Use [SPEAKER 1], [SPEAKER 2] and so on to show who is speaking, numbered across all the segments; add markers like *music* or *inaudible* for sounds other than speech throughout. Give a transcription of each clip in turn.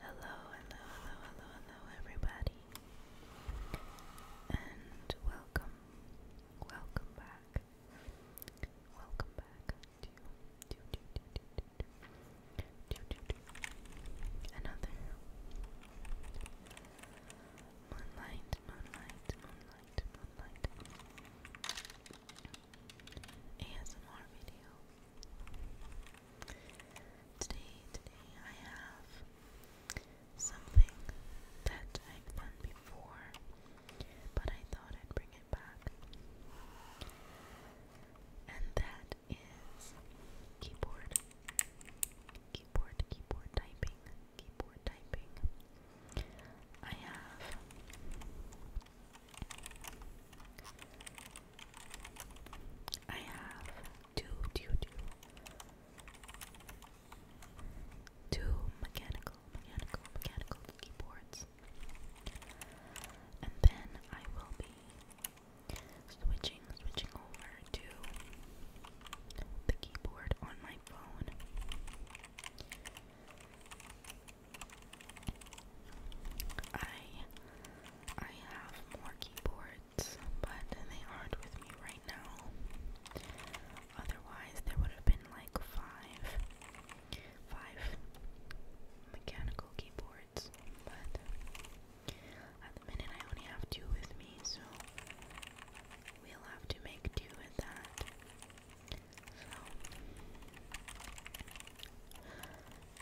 [SPEAKER 1] Hello, hello, hello, hello, hello, everybody, and welcome, welcome back, welcome back to to to to to to to, to, another moonlight, moonlight, moonlight, moonlight ASMR video. Today, today I have something that I've done before, but I thought I'd bring it back. And that is keyboard. Keyboard, keyboard typing, keyboard typing. I have I have two, two, two, two mechanical, mechanical, mechanical keyboards, and then I will be switching, switching over to the keyboard on my phone. I I have more keyboards, but they aren't with me right now. Otherwise, there would have been like five five mechanical keyboards, but at the minute I only have two with me, so we'll have to make do with that. So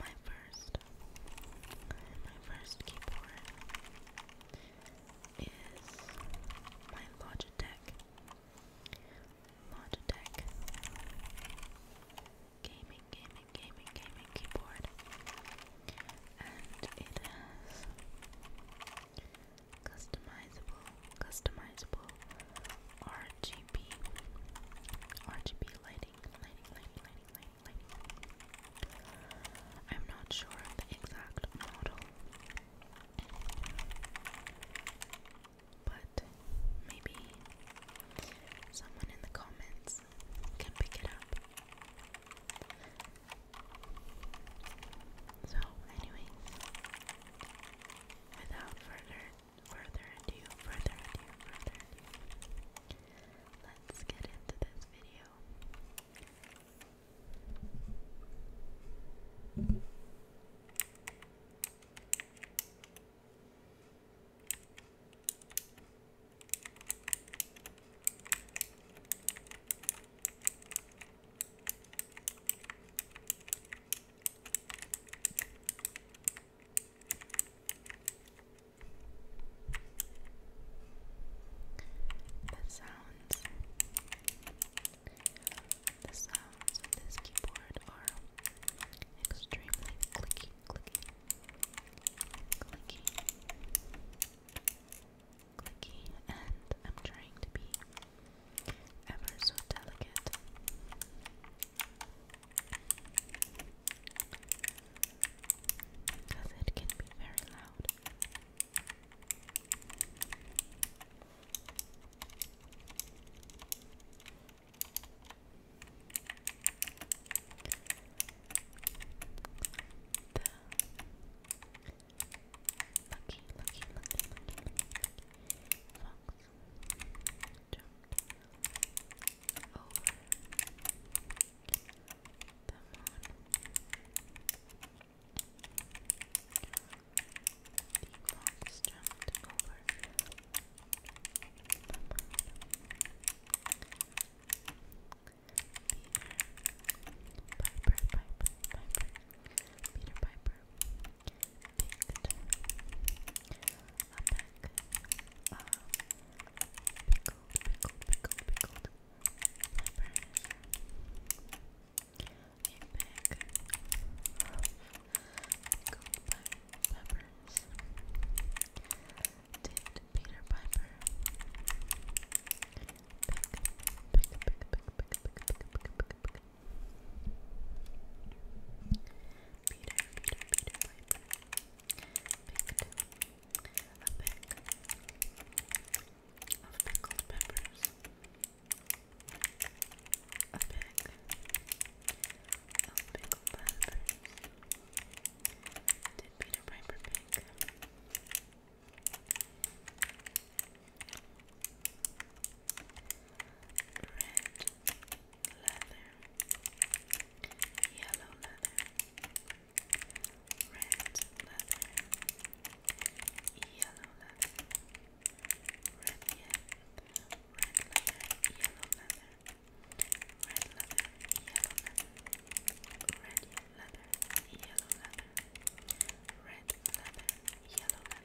[SPEAKER 1] my first my first keyboard is my Logitech Logitech gaming gaming gaming gaming keyboard and it has customizable customizable RGB RGB lighting I'm not sure of the exact model, but maybe someone in the comments can pick it up. So, anyways, without further further ado, further ado, further ado, let's get into this video. The sounds the sounds this keyboard are extremely clicky, clicky, clicky, clicky, and I'm trying to be ever so delicate because it can be very loud. The Lucky, lucky, lucky, lucky, lucky, lucky fox jumped over the moon. The clouds jumped Peter Piper, Piper, Piper, Peter Piper picked love that. Um, pickled, pickled, pickled, pickled peppers. peppers. Peter Piper pick, pick, pick, pick, pick, pick, pick, pick, pick, pick, pick. Peter, Peter, Peter Piper picked a peck of pickled peppers, a peck of pickled peppers. Did Peter Piper pick? leather, yellow leather, red leather, yellow leather, red yet, red leather, yellow leather, red leather, yellow leather, red leather, yellow leather, red leather, yellow leather.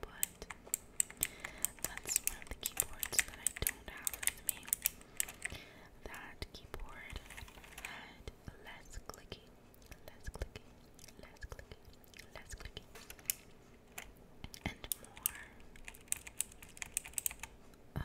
[SPEAKER 2] but that's one of the keyboards that I don't have with me. That keyboard had less clicky, less clicky, less clicky, less clicky, and more. Uh, just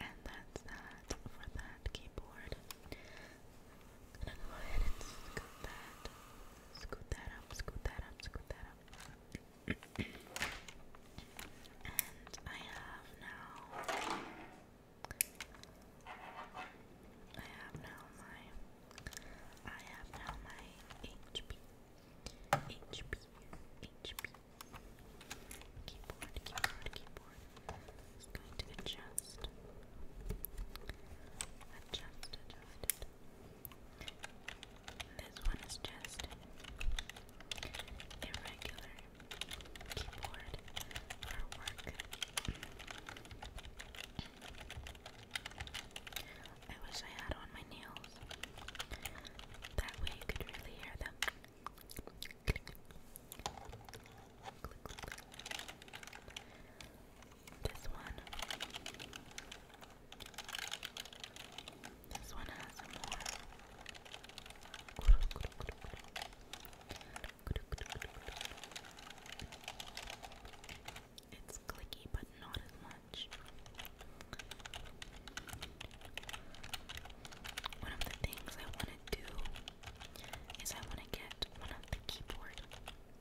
[SPEAKER 2] And that's that for that keyboard. gonna go ahead and scoot that. Scoot that up, scoot that up, scoot that up. and I have now. I have now my. I have now my HP. HP. HP. Keyboard, keyboard, keyboard. Just going to adjust. Adjust, adjust. This one is just irregular keyboard for work. *clears throat* I wish I had on my nails. That way you could really hear them. This one. This one has more. It's clicky, but not as much much. One of the things I want to do is I want to get one of the keyboard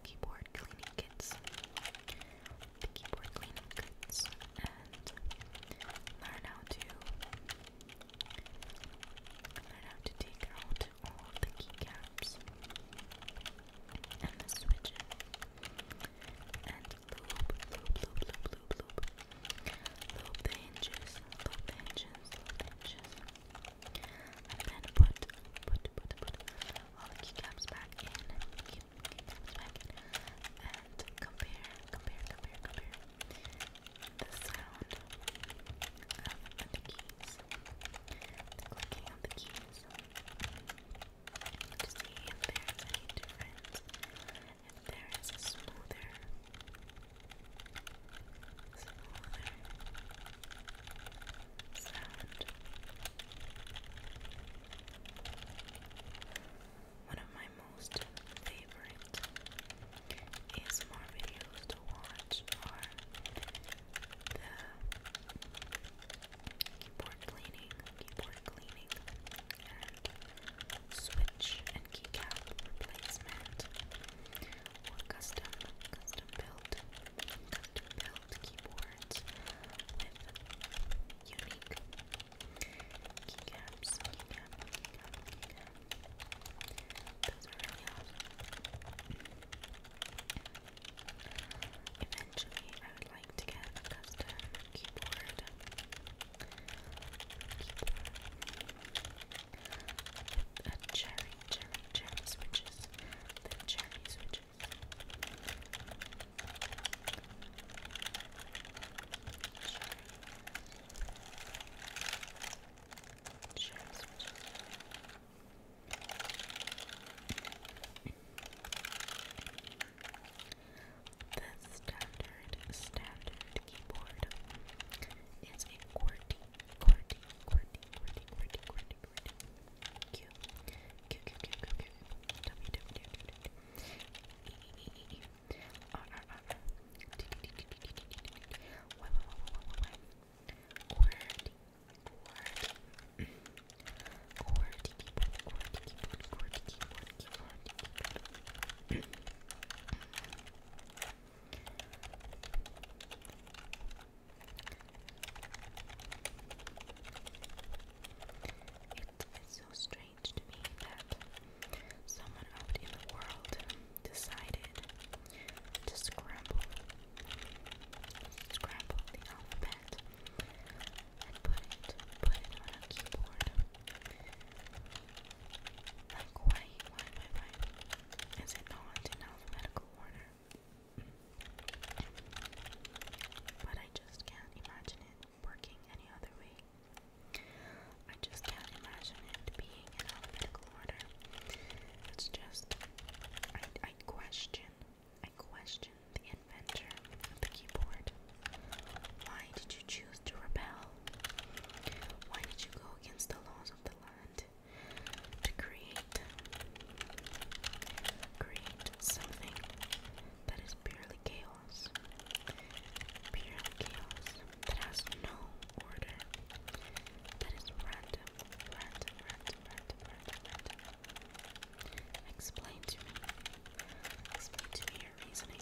[SPEAKER 2] keyboard cleaning kits, the keyboard cleaning kits, and learn how to learn how to take out all the keycaps and the switches loop, loop, loop, loop, loop, loop. Loop the hinges, loop the hinges, loop the hinges. And then put, put, put, put all the keycaps back in. Key, keycaps back in. And compare, compare, compare, compare the sound of the keys. The clicking of the keys. To see if there's any difference if there is a smoother, smoother sound.
[SPEAKER 3] One of my most favorite ASMR videos to watch are the keyboard cleaning, keyboard cleaning and switch and keycap replacement or custom custom built custom built keyboards unique keycaps eventually I would like to get a custom keyboard a cherry, cherry, cherry switches. The cherry switches. Cherry. Cherry the standard standard keyboard is QWERTY, QWERTY, QWERTY, QWERTY, QWERTY, QWERTY, QWERTY, Q, Q, Q, Q, Q, Q, W, W, W, W, E,
[SPEAKER 2] E, E, E, R, R, R, R, D, D, D, D, D, D, D, D, D, Y, Y, Y, Y, Y, Y, keyboard it's so strange to me that someone out in the world decided to scramble, scramble the alphabet put it put it on a keyboard. Like why why why? Is it not in alphabetical order? But I just can't imagine it working any other way. I just can't imagine it being in alphabetical
[SPEAKER 4] order. It's just I I question I question the inventor of the keyboard. Why did you choose to rebel? Why did you go against the laws of the land to create create something that is purely chaos?
[SPEAKER 5] Purely chaos that has no order. That is random, random, random, random, random, Explain to me. Explain to me your reasoning.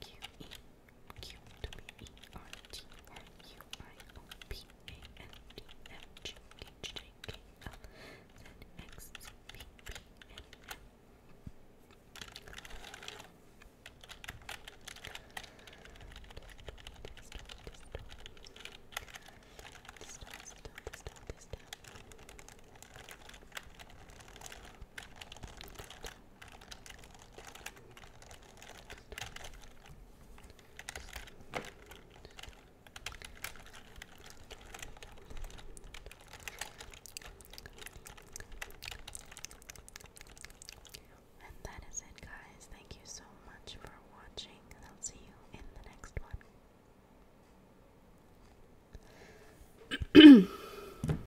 [SPEAKER 5] Q E Q W E R T R U I O P A N D M G H J K L Z
[SPEAKER 1] X Z V P N M. This down, this down, this down, this down. And that is it, guys. Thank you so much for watching, I'll see you in
[SPEAKER 3] the next one. *clears throat*